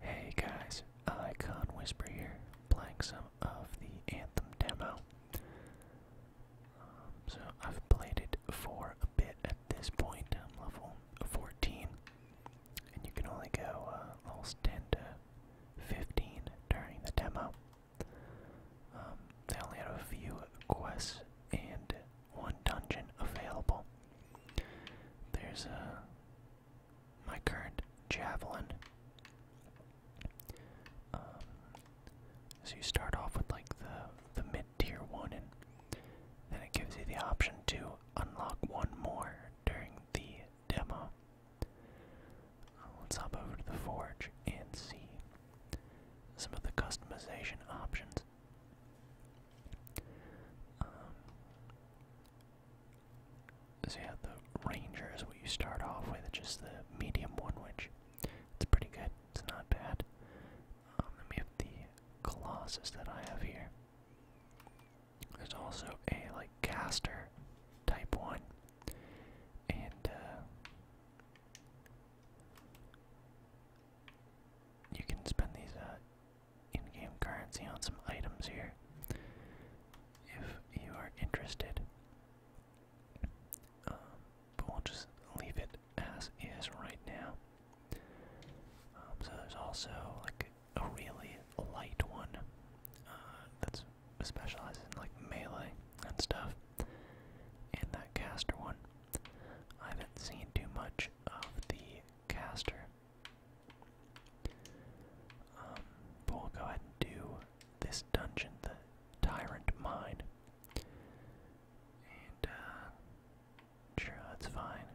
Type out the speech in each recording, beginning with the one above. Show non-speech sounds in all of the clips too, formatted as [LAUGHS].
Hey guys, Icon Whisper here, playing some of the Anthem demo. Um, so I've played it for a bit at this point, um, level 14, and you can only go uh, levels 10 15 during the demo. Um, they only have a few quests and one dungeon available. There's a uh, my current javelin. Um, so you start off with like the the mid tier one, and then it gives you the option to unlock one more during the demo. Uh, let's hop over to the forge and see some of the customization options. Um, so yeah, the Ranger is what you start off with, just the medium one, which it's pretty good. It's not bad. Um, then have the Colossus that I have here. There's also a like caster type one, and uh, you can spend these uh, in-game currency on some items here if you are interested. Um, but we'll just leave it as is right now. Um, so there's also like a really light one uh, that in like melee and stuff, and that caster one. I haven't seen too much of the caster but um, we'll go ahead and do this dungeon, the Tyrant Mine. And, uh, sure, that's fine.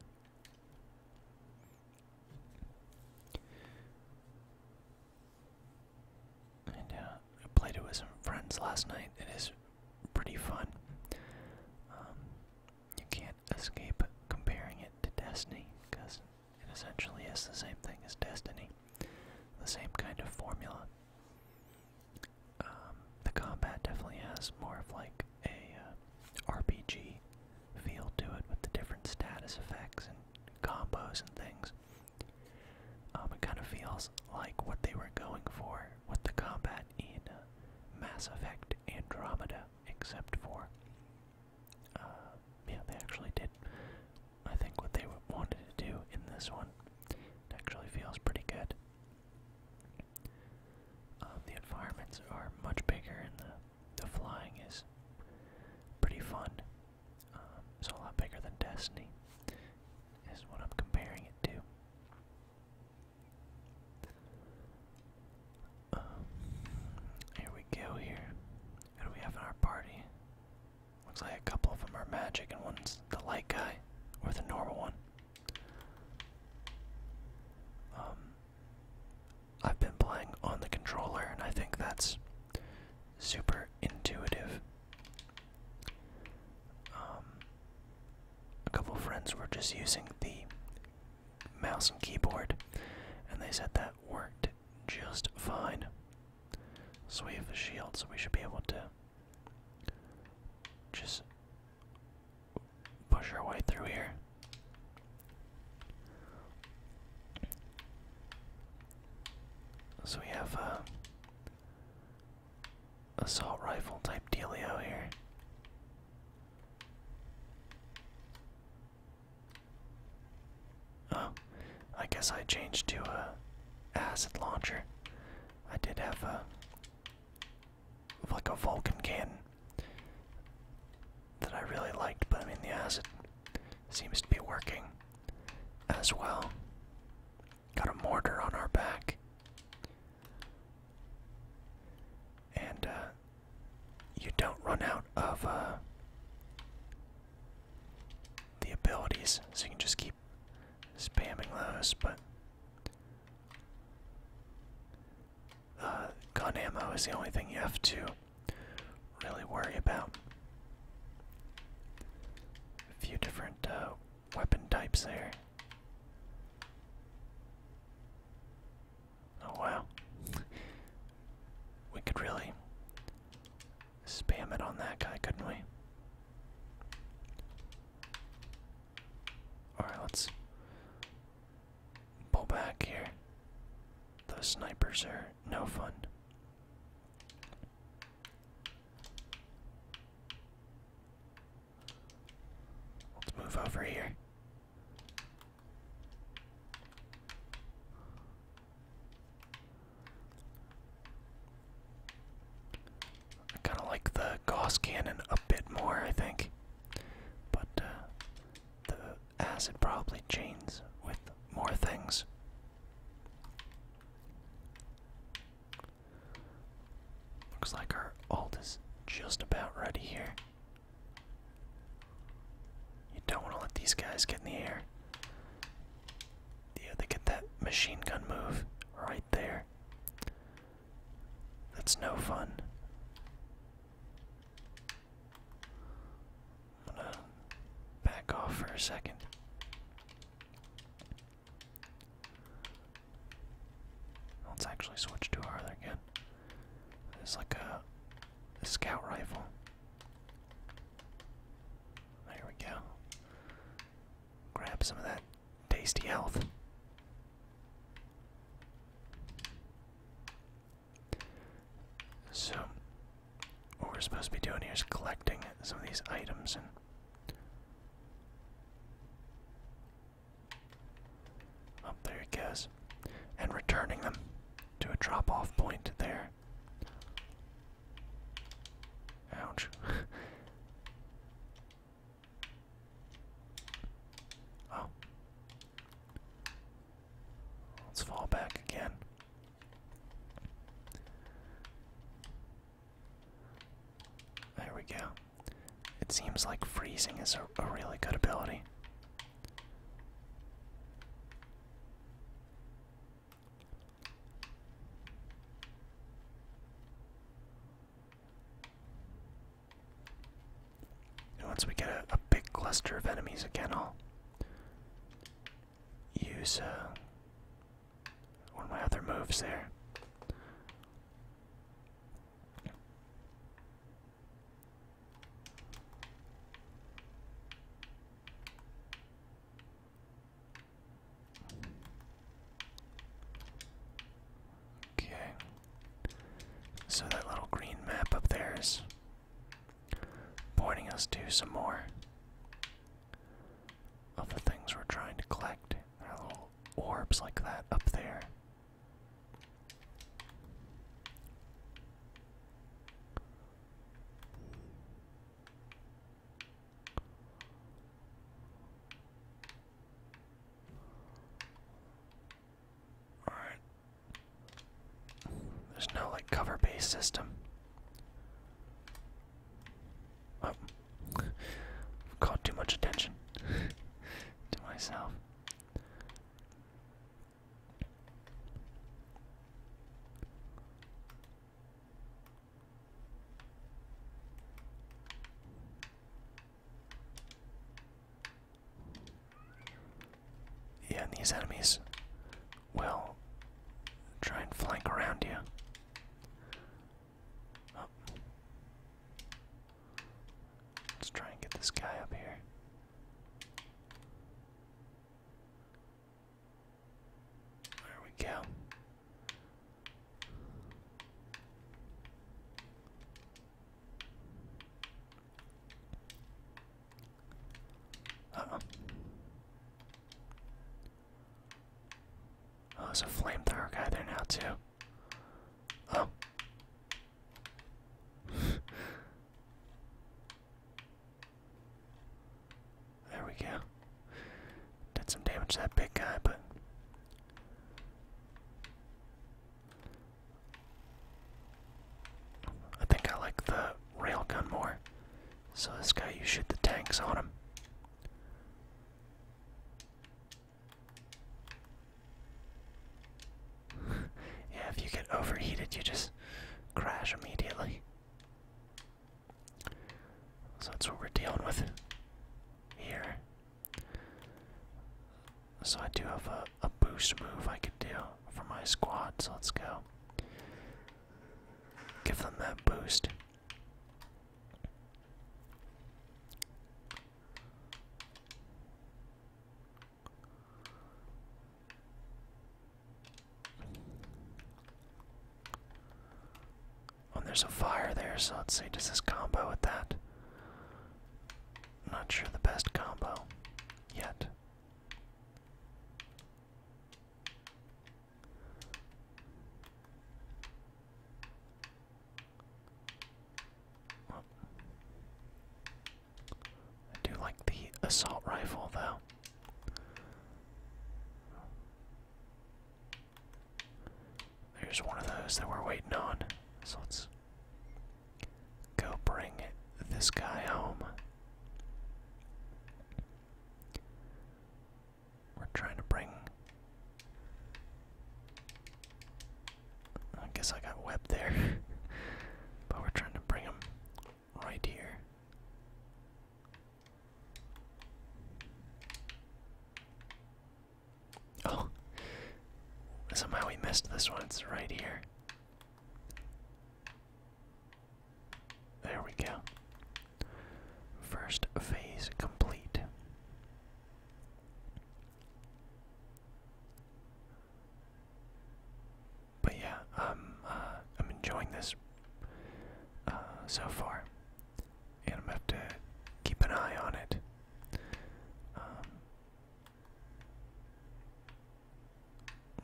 And, uh, I played it with some friends last night. It is pretty fun. Um, you can't escape comparing it to Destiny, because it essentially is the same thing as Destiny. The same kind of formula. Um, the combat definitely has more of like a uh, RPG feel to it with the different status effects and combos and things. Um, it kind of feels like what they were going for with the combat in uh, Mass Effect Andromeda except for uh, yeah, they actually did I think what they wanted to do in this one. actually feels pretty good. Um, the environments are much bigger, and the the flying is pretty fun. Um, it's a lot bigger than Destiny, is what I'm comparing it to. Um, here we go. Here, what do we have in our party? Looks like a couple of them are magic, and one's the light guy, or the normal one. Um, I've been playing on the controller, and I think that's super intuitive. Um, a couple friends were just using the mouse and keyboard, and they said that worked just fine. So we have the shield, so we should be able to just push our way through here. So we have a uh, assault rifle type dealio here. Oh, I guess I changed to a acid launcher. I did have a like a Vulcan cannon that I really liked, but I mean the acid seems to be working as well. Got a mortar on our back. And uh, you don't run out of uh, the abilities, so you can just keep spamming those. But uh, gun ammo is the only thing you have to really worry about. A few different uh, weapon types there. Oh wow. We could really spam it on that guy, couldn't we? Alright, let's pull back here. Those snipers are no fun. Let's move over here. I kind of like the Gauss cannon a bit more, I think. But uh, the acid probably chains with more things. Looks like our alt is just about ready here. You don't want to let these guys get in the air. Yeah, they get that machine gun move right there. That's no fun. I'm gonna back off for a second. Let's actually switch to our other gun. It's like a, scout rifle. There we go. Grab some of that tasty health. So, what we're supposed to be doing here is collecting some of these items and up there it goes. And returning them to a drop off point there. Ouch. [LAUGHS] oh. Let's fall back again. There we go. It seems like freezing is a, a really good ability once we get a, big cluster of enemies again, I'll use uh, one of my other moves there. Okay. So that little green map up there is pointing us to some more of the things we're trying to collect. There are little orbs like that up there. All right. There's no like cover based system. Oh, [LAUGHS] caught too much attention [LAUGHS] to myself. Yeah, and these enemies will try and flank around you. Oh. Let's try and get this guy up here. There we go. oh. Oh, there's a flamethrower guy there now, too. Oh there we go. Did some damage to that big guy, but. I think I like the railgun more. So, this guy, you shoot the tanks on him. [LAUGHS] yeah, if you get overheated, you just crash immediately. So that's what we're dealing with here. So I do have a, boost move I could do for my squad, so let's go. Give them that boost. Oh, there's a fire there, so let's see, does this combo with that? Not sure the best combo yet. I do like the assault rifle though. There's one of those that we're waiting on. So let's go bring this guy home. We're trying to bring I guess I got webbed there. [LAUGHS] but we're trying to bring him right here. Oh, somehow we missed this one. It's right here. There we go. First phase complete. But yeah, um, uh, I'm enjoying this uh, so far, and I'm gonna have to keep an eye on it. Um,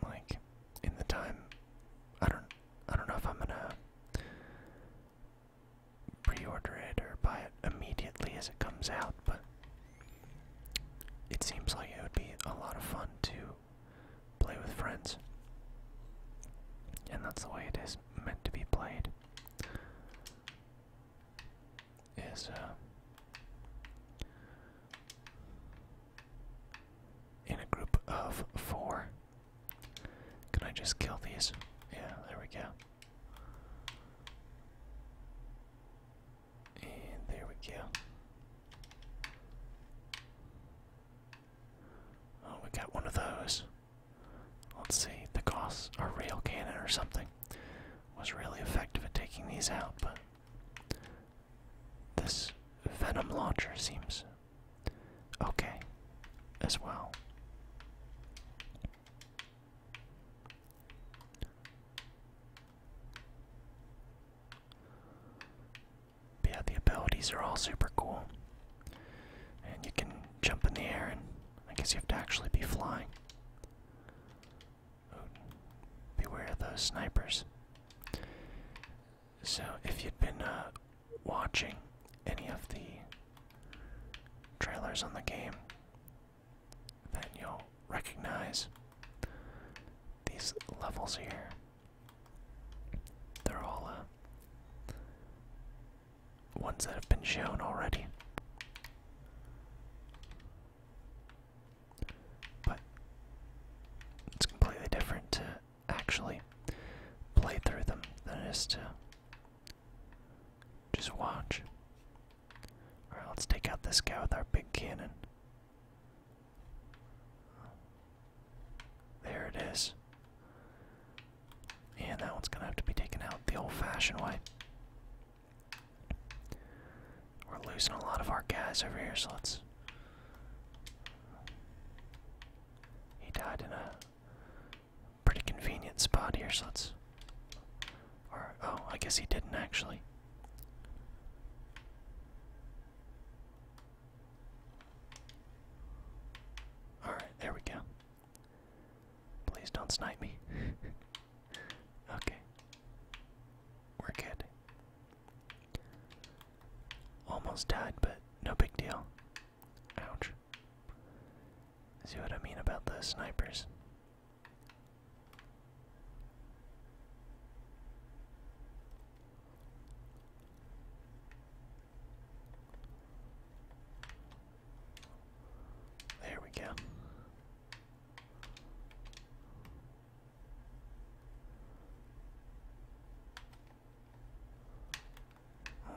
like in the time, I don't, I don't know if I'm gonna pre-order it or buy it immediately as it comes out, but it seems like it would be a lot of fun to play with friends. And that's the way it is meant to be played. Is uh, in a group of four. Can I just kill these? Yeah, there we go. And there we go. Oh, we got one of those. Let's see, the Gauss, or real cannon or something, was really effective at taking these out, but this Venom launcher seems okay as well yeah, the abilities are all super cool. And you can jump in the air, and I guess you have to actually be flying. beware of those snipers. So, if you have been uh, watching any of the trailers on the game, then you'll recognize these levels here. They're all uh, ones that have been shown already. But it's completely different to actually play through them than it is to just watch. Alright, let's take out this guy with our big cannon. There it is. And that one's gonna have to be taken out the old fashioned way. We're losing a lot of our guys over here, so let's. He died in a pretty convenient spot here, so let's oh, I guess he didn't actually. Alright, there we go. Please don't snipe me. [LAUGHS] okay. We're good. Almost died, but no big deal. Ouch. See what I mean about the snipers? There we go.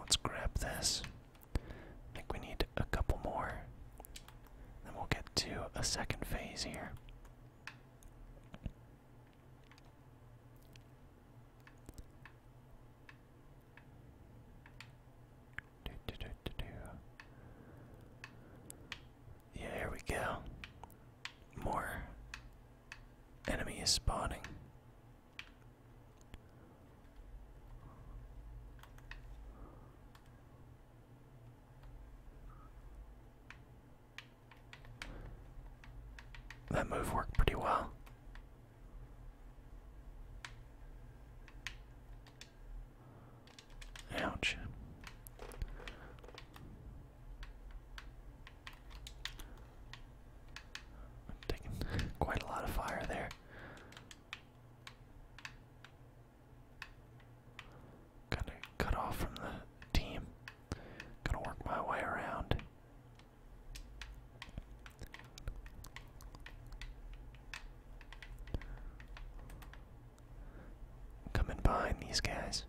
Let's grab this. think we need a couple more. Then we'll get to a second phase here. Do, Yeah, here we go. More enemy is spawning. That move worked pretty well. Ouch. I'm taking [LAUGHS] quite a lot of fire there. Gonna cut off from the team. Gonna work my way around. Coming behind these guys.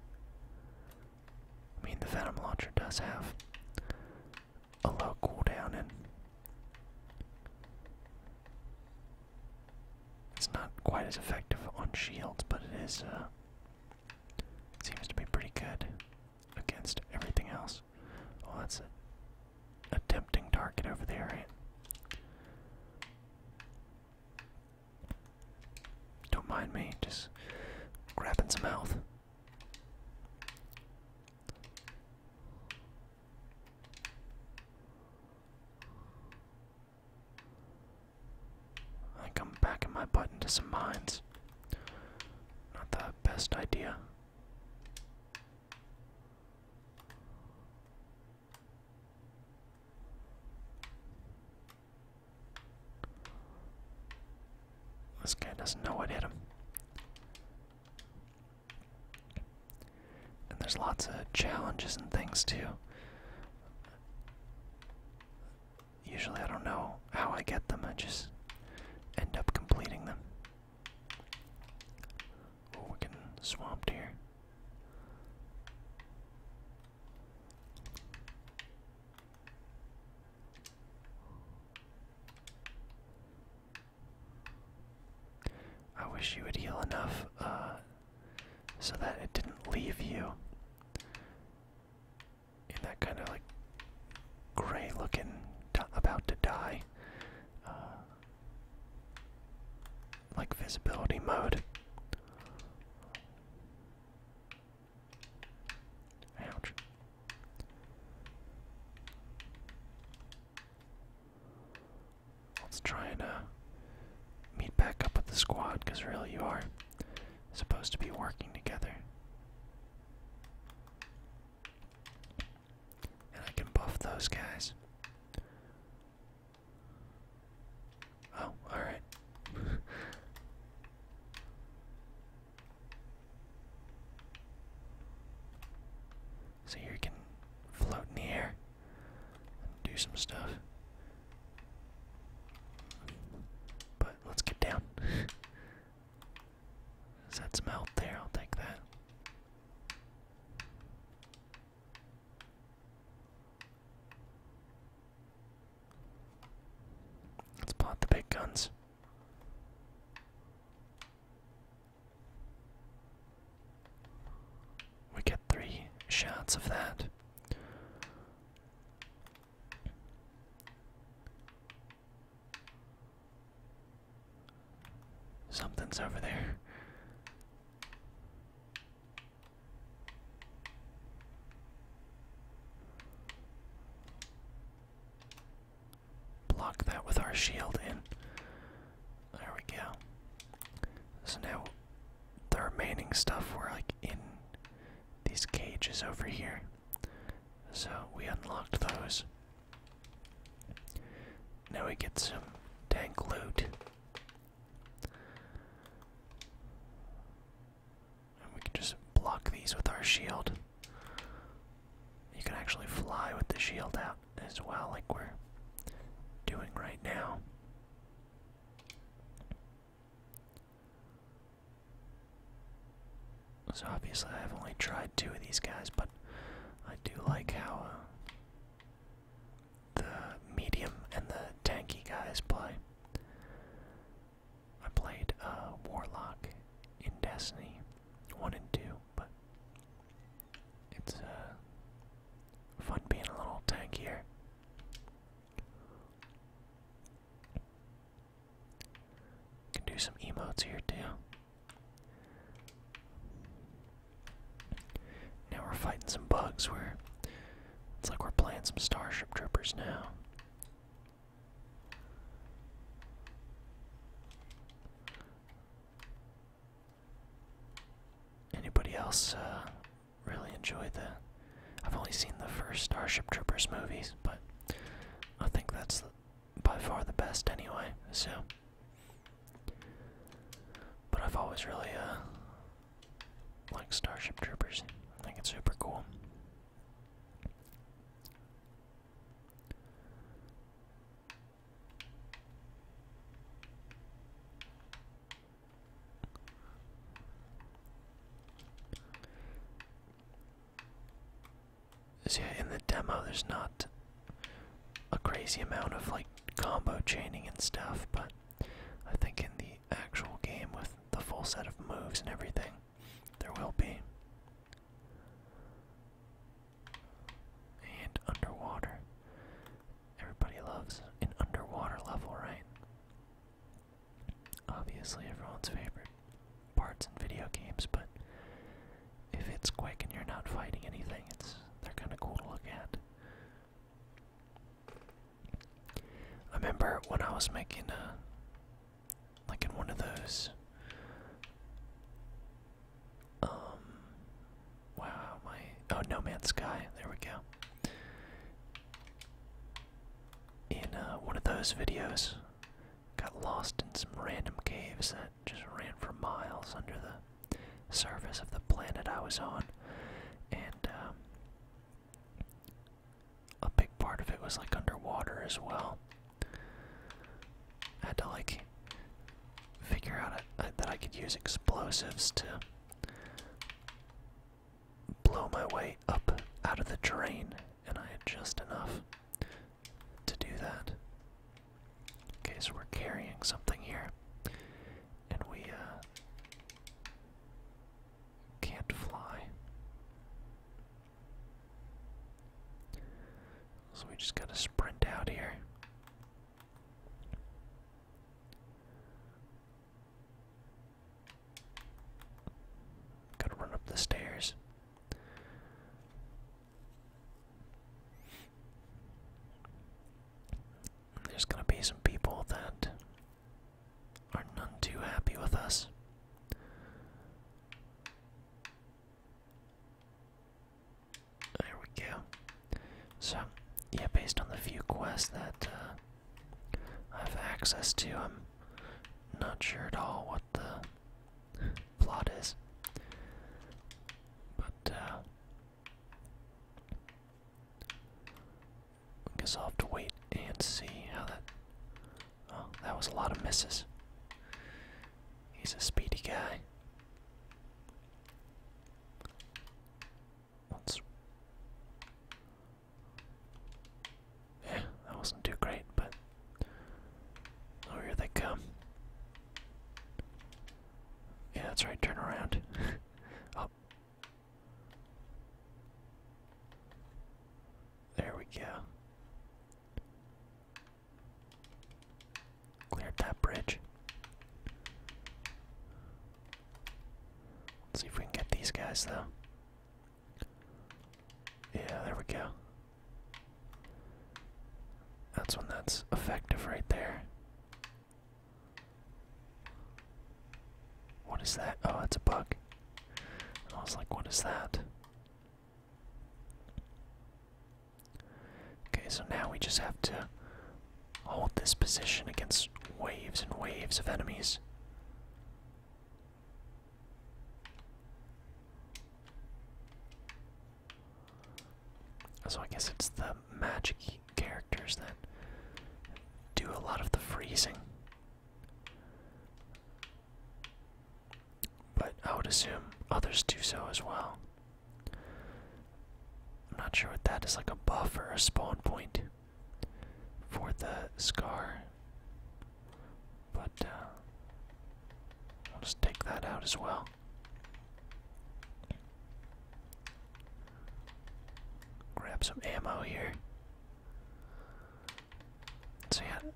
I mean, the Venom Launcher does have a low cooldown and it's not quite as effective on shields, but it is, uh, seems to be pretty good against everything else. Oh, that's a, tempting target over there, Don't mind me, just grabbing some health. I think I'm backing my butt into some mines. Not the best idea. This guy doesn't know what hit him. And there's lots of challenges and things too. Usually, I don't know how I get them, I just end up completing them. Oh, we're getting swamped here. I wish you would heal enough uh, so that it didn't leave you in that kind of like gray looking about to die uh, like visibility mode ouch let's try and uh, meet back up with the squad, because really you are supposed to be working together. And I can buff those guys. Oh, alright. [LAUGHS] so you can float in do some stuff. But let's get down. Does some help there? I'll take that. Let's plot the big guns. We get three shots of that. Something's over there. Block that with our shield in. There we go. So now the remaining stuff were like in these cages over here. So we unlocked those. Now we get some dank loot. And we can just block these with our shield. You can actually fly with the shield out as well, like we're doing right now. So obviously I've only tried two of these guys, but I do like how uh, the medium and the tanky guys play. I played uh, Warlock in Destiny 1 and 2, but it's uh, fun being a little tankier. Can do some emotes here too. Now we're fighting some bugs where it's like we're playing some Starship Troopers now. Anybody else uh, really enjoyed the. I've only seen the first Starship Troopers movies, but I think that's by far the best anyway. So, but I've always really uh liked Starship Troopers. I think it's super cool. So in the demo, there's not a crazy amount of like combo chaining and stuff, but I think in the actual game with the full set of moves and everything, there will be. And underwater. Everybody loves an underwater level, right? obviously everyone's favorite parts in video games, but if it's quick and you're not fighting anything, it's they're kind of cool to look at. I remember when I was making uh, like in one of those. Um. Wow, my oh, No Man's Sky. There we go in uh, one of those videos. Got lost in some random caves that just ran for miles under the surface of the planet I was on, and um, a big part of it was like underwater as well. had to like figure out uh, that I could use explosives to blow my way up out of the terrain, and I had just enough to do that. Okay, so we're carrying something here, and we uh, can't fly. So we just gotta sprint out here. Gotta run up the stairs. There's gonna be some people that are none too happy with us. There we go. So, yeah, based on the few quests that uh, I have access to. I'm not sure at all what the plot is. But, uh, I guess I'll have to wait and see how that. Oh, that was a lot of misses. He's a speedy guy. Let's yeah, that wasn't too great, but oh, here they come. Yeah, that's right. Turn around. Up. [LAUGHS] Oh. There we go. Cleared that bridge. Let's see if we can get these guys though. Yeah, there we go. That's when that's effective right there. What is that? Oh, it's a bug. I was like, what is that? Okay, so now we just have to hold this position against waves and waves of enemies. So I guess it's the magic characters that do a lot of the freezing. But I would assume others do so as well. I'm not sure what that is like a buff or a spawn point for the scar. But uh, I'll just take that out as well. Grab some ammo here. So yeah,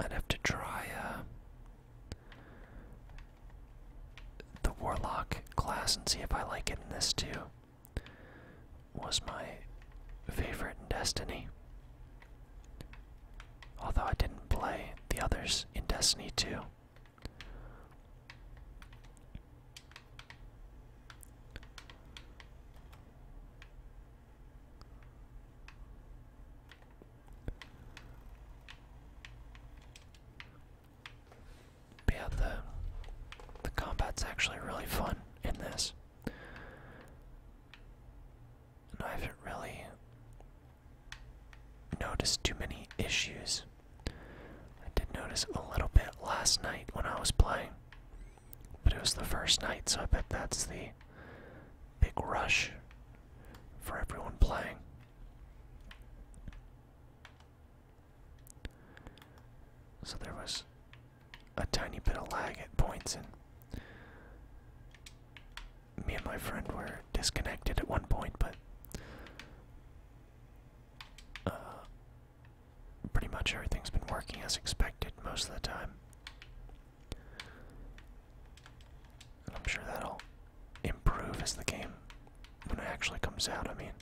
I'd have to try uh, the warlock class and see if I like it in this too was my favorite in Destiny. Although I didn't play the others in Destiny too yeah, the the combat's actually really fun in this. I haven't really noticed too many issues. I did notice a little bit last night when I was playing. But it was the first night, so I bet that's the big rush for everyone playing. So there was a tiny bit of lag at points, and me and my friend were disconnected at one point, but uh, pretty much everything's been working as expected most of the time. I'm sure that'll improve as the game when it actually comes out, I mean.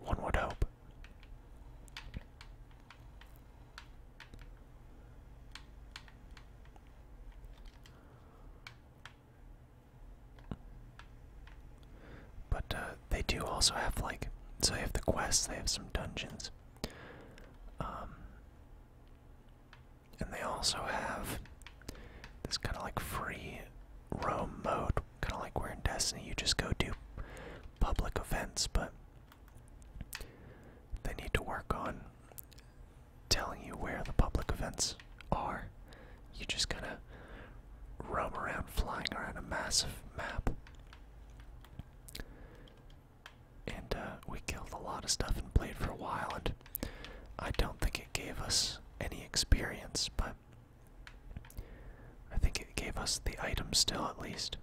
One would hope. But uh, they do also have like so they have the quests, they have some dungeons, um, and they also have this kind of like free roam mode Kind of like we're in Destiny, you just go do public events, but they need to work on telling you where the public events are. You just kind of roam around, flying around a massive map. And uh, we killed a lot of stuff and played for a while, and I don't think it gave us any experience, but I think it gave us the item still, at least.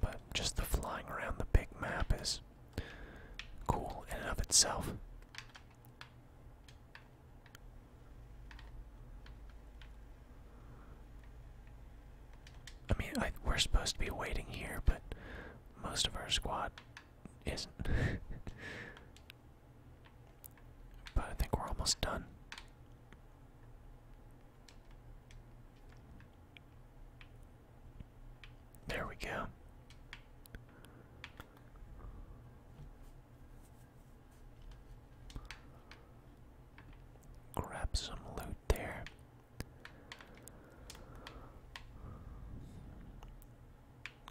But just the flying around the big map is cool in and of itself. I mean, we're supposed to be waiting here, but most of our squad isn't. [LAUGHS] but I think we're almost done. There we go. Grab some loot there.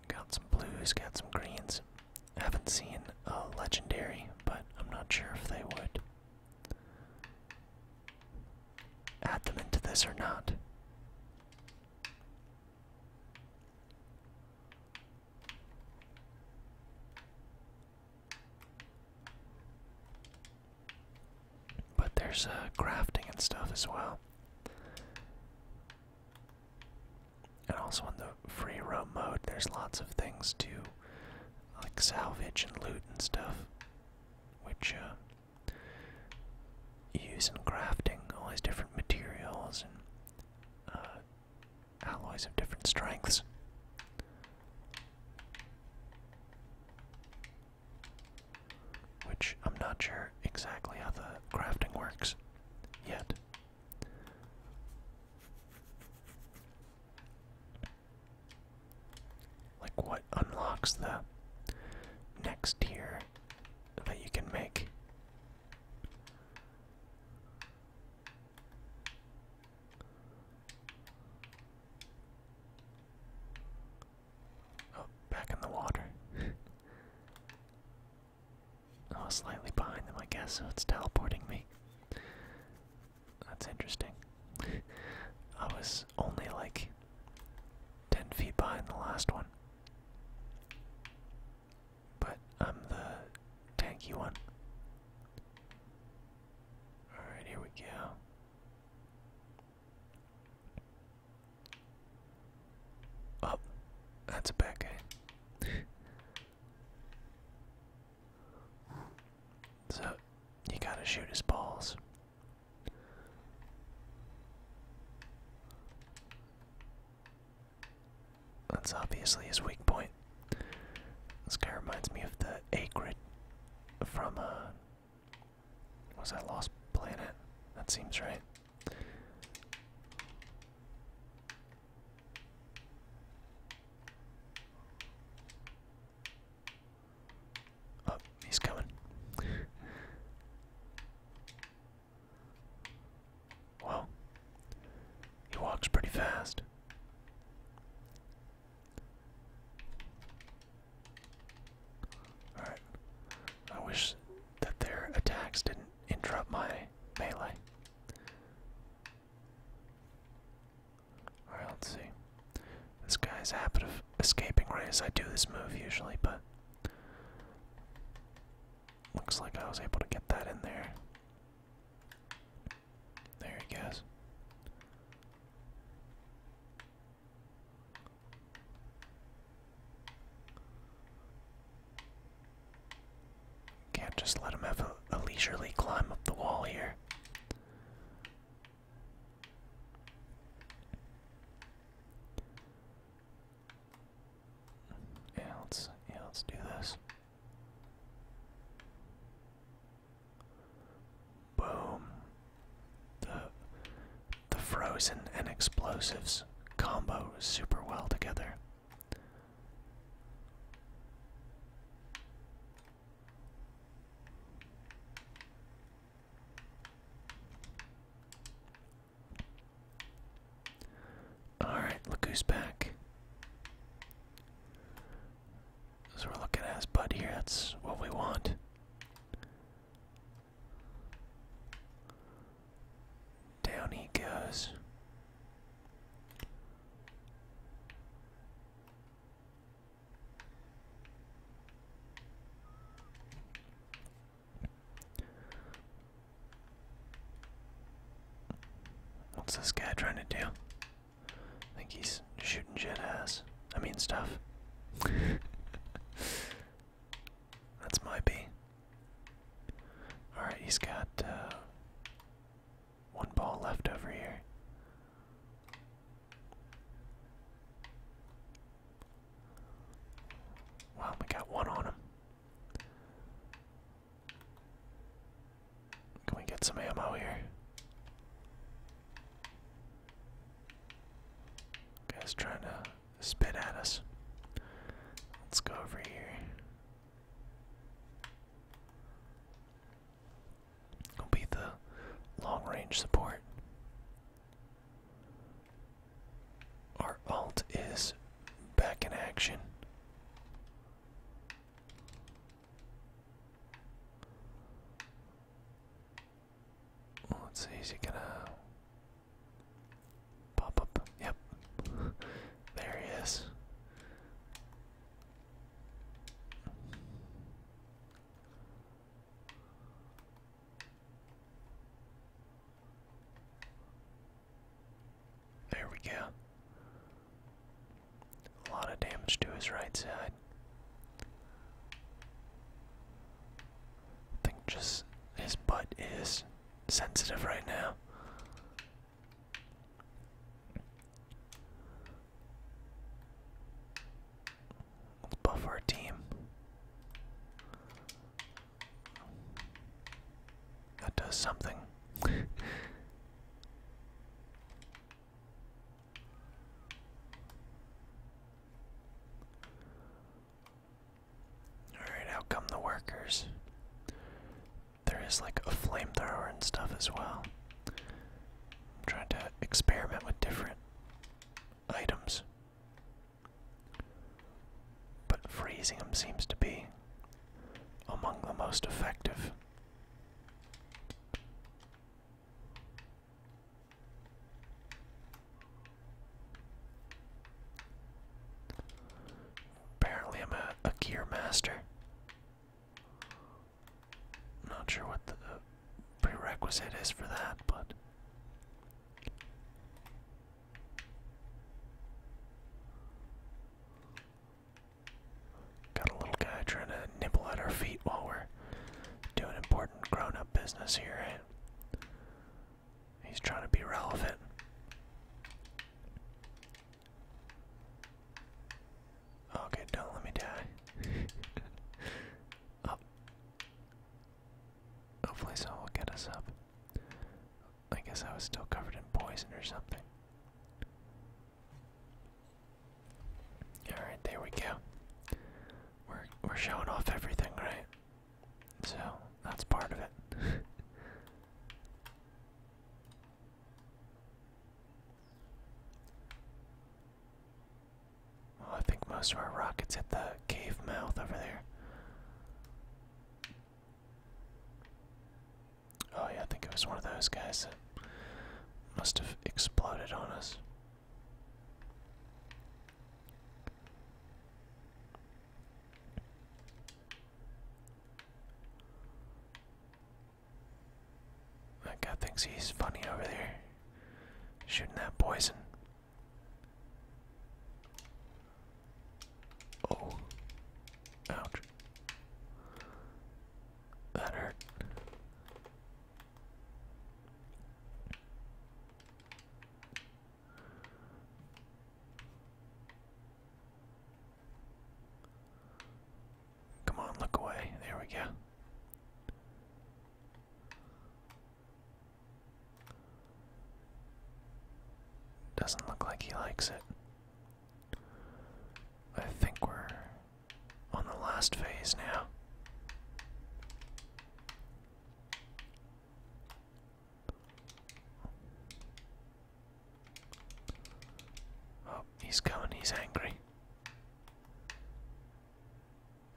Got some blues, got some greens. haven't seen a legendary, but I'm not sure if they would add them into this or not. But there's uh, crafting and stuff as well. And also in the free roam mode, there's lots of things to like salvage and loot and stuff, which uh, you use in crafting all these different materials and uh, alloys of different strengths. Which I'm not sure exactly how the crafting works yet. Like what unlocks the next tier that you can make. Oh, back in the water. [LAUGHS] I was slightly behind them, I guess, so it's teleporting me. That's interesting. [LAUGHS] I was only like 10 feet behind the last one. But I'm the tanky one. Alright, here we go. Oh, that's a bad backhand. so, he gotta shoot his balls. That's obviously his weak point. This guy reminds me of the Acrid from uh was that Lost Planet? That seems right. Oh, he's coming. Well, he walks pretty fast. Alright. I wish that their attacks didn't interrupt my melee. Alright, let's see. This guy's habit of escaping right as I do this move usually, but looks like I was able to get that in there. There he goes. Can't just let him have a, leisurely climb up the wall here. Yeah, let's yeah, let's do this. Boom. The the frozen and explosives combo super well together. All right, look who's back. So we're looking at Bud here, that's what we want. Down he goes. What's this guy trying to do? I think he's shooting jet ass. I mean stuff. That's my bee. Alright, he's got uh, one ball left over here. Wow, we got one on him. Can we get some ammo here? Guy's trying to spit at us. Let's go over here. it be the long range support. Our alt is back in action. Let's see, is he gonna pop up? Yep. [LAUGHS] there he is. There we go. A lot of damage to his right side. I think just his butt is sensitive right now. Let's buff our team. That does something. [LAUGHS] Alright, how come the workers? There is like a flamethrower and stuff as well. I'm trying to experiment with different items. But freezing them seems to be among the most effective. Apparently, I'm a, gear master. Not sure what the prerequisite is for that, but. Got a little guy trying to nibble at our feet while we're doing important grown up business here, eh? He's trying to be relevant. Okay, don't let me die. up. [LAUGHS] Oh. Hopefully, someone will get us up. I guess I was still covered in poison or something. Alright, there we go. We're we're showing off everything, right? So that's part of it. [LAUGHS] well, I think most of our rockets hit the cave mouth over there. Oh yeah, I think it was one of those guys must have exploded on us. That guy thinks he's funny over there, shooting that poison. Oh, ouch. That Come on, look away. There we go. Doesn't look like he likes it. I think we're on the last phase now. Oh, he's coming, he's angry.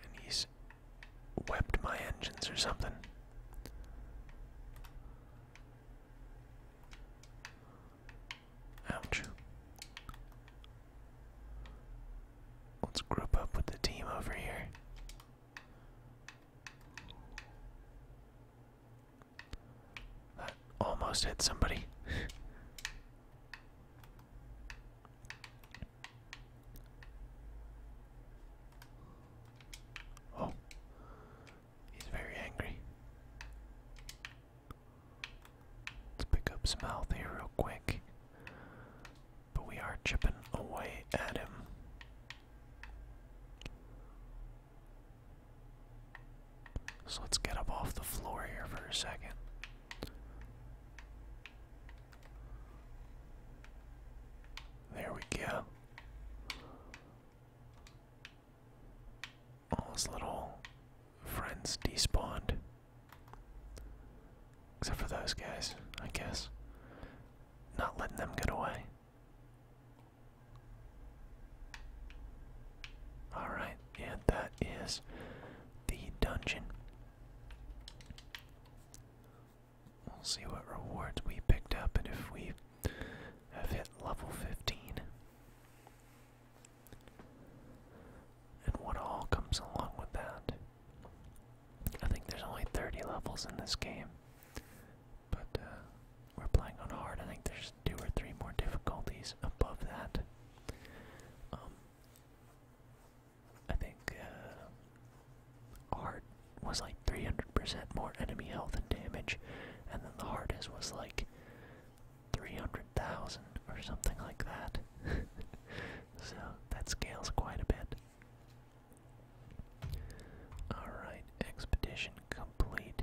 And he's wept my engines or something. Ouch. Let's group up with the team over here. That almost hit somebody. [LAUGHS] oh, he's very angry. Let's pick up some health here real quick. But we are chipping away at him. So let's get up off the floor here for a second. There we go. All his little friends despawned. Except for those guys, I guess. Not letting them get away. Alright, and that is the dungeon. We'll see what rewards we picked up and if we have hit level 15. And what all comes along with that. I think there's only 30 levels in this game. But uh, we're playing on hard. I think there's two or three more difficulties above that. Um, I think uh, hard was like 300% more enemy health and damage, and then the hardest was like 300,000 or something like that. [LAUGHS] so that scales quite a bit. Alright, expedition complete.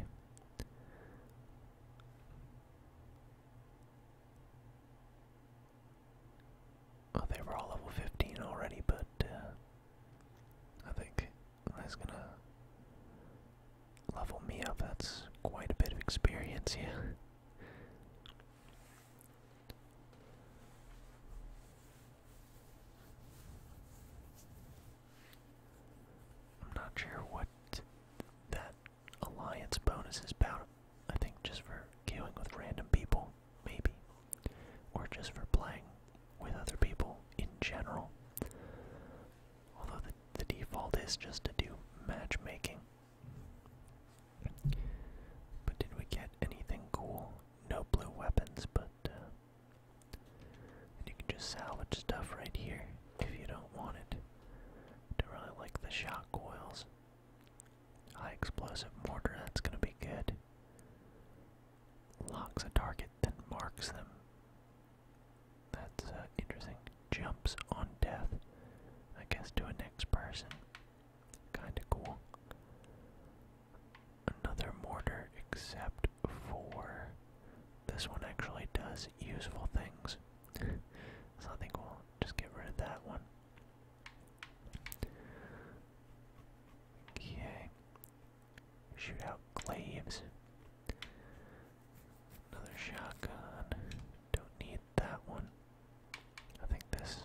Oh, they were all level 15 already, but uh, I think that's gonna level me up. That's quite a bit of experience, yeah. I'm not sure what that alliance bonus is about. I think just for queuing with random people, maybe. Or just for playing with other people in general. Although the, the default is just to do matchmaking. But did we get anything cool? No blue weapons, but uh, you can just salvage stuff right here if you don't want it. I don't really like the shock coils. High explosive mortar, that's gonna be good. Locks a target, then marks them. That's uh, interesting jumps on death, I guess to a next person. Kinda cool. Another mortar, except for this one actually does useful things. [LAUGHS] so I think we'll just get rid of that one. Okay. Shoot out glaives. Another shotgun. Don't need that one. I think this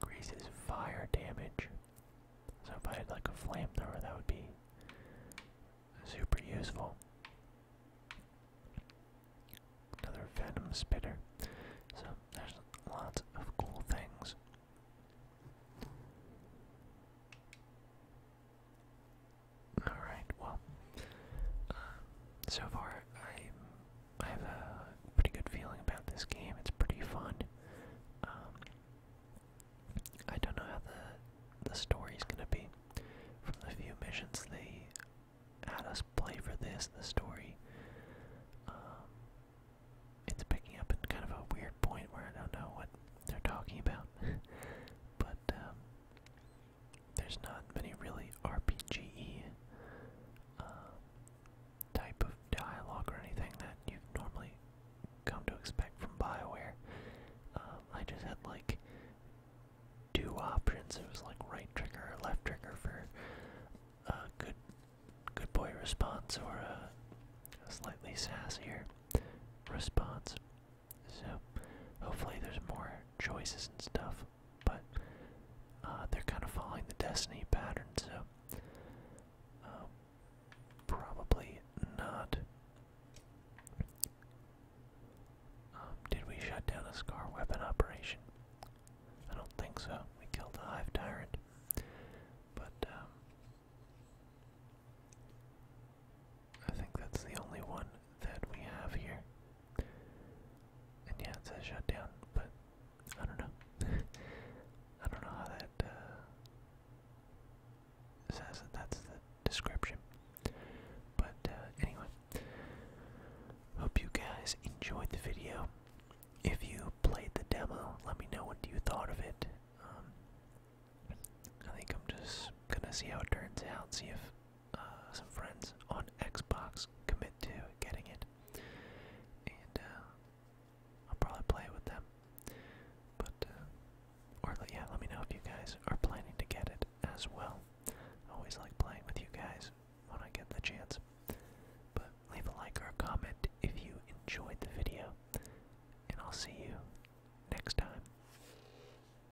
increases fire damage. So if I had like a flamethrower, that would be super useful. Another venom spitter. So there's lots of cool things. Alright, well, uh, so far I, I have a pretty good feeling about this game. It's pretty fun. Um, I don't know how the, the story's gonna be. From the few missions they had us play for this, the story, um, it's picking up at kind of a weird point where I don't know what they're talking about. [LAUGHS] but, um, there's not many really rpg uh, type of dialogue or anything that you normally come to expect from Bioware. Um, I just had like two options. It was like right trigger or left trigger for a good, good boy response or a slightly sassier response. So hopefully there's more choices and stuff, but uh, they're kind of following the Destiny pattern, so uh, probably not. Um, did we shut down a scar weapon operation? I don't think so. We killed the Hive Tyrant. But, um, I think that's the only one that we have here. And yeah, it says shut down, but I don't know. [LAUGHS] I don't know how that uh, says that that's the description. But uh, anyway, hope you guys enjoyed the video. If you played the demo, let me know what you thought of it. Um, I think I'm just gonna see how it turns out, see if uh, some friends on Xbox commit to getting it, and uh, I'll probably play with them. But uh, or yeah, let me know if you guys are planning to get it as well. always like playing with you guys when I get the chance. But leave a like or a comment if you enjoyed the video, and I'll see you next time.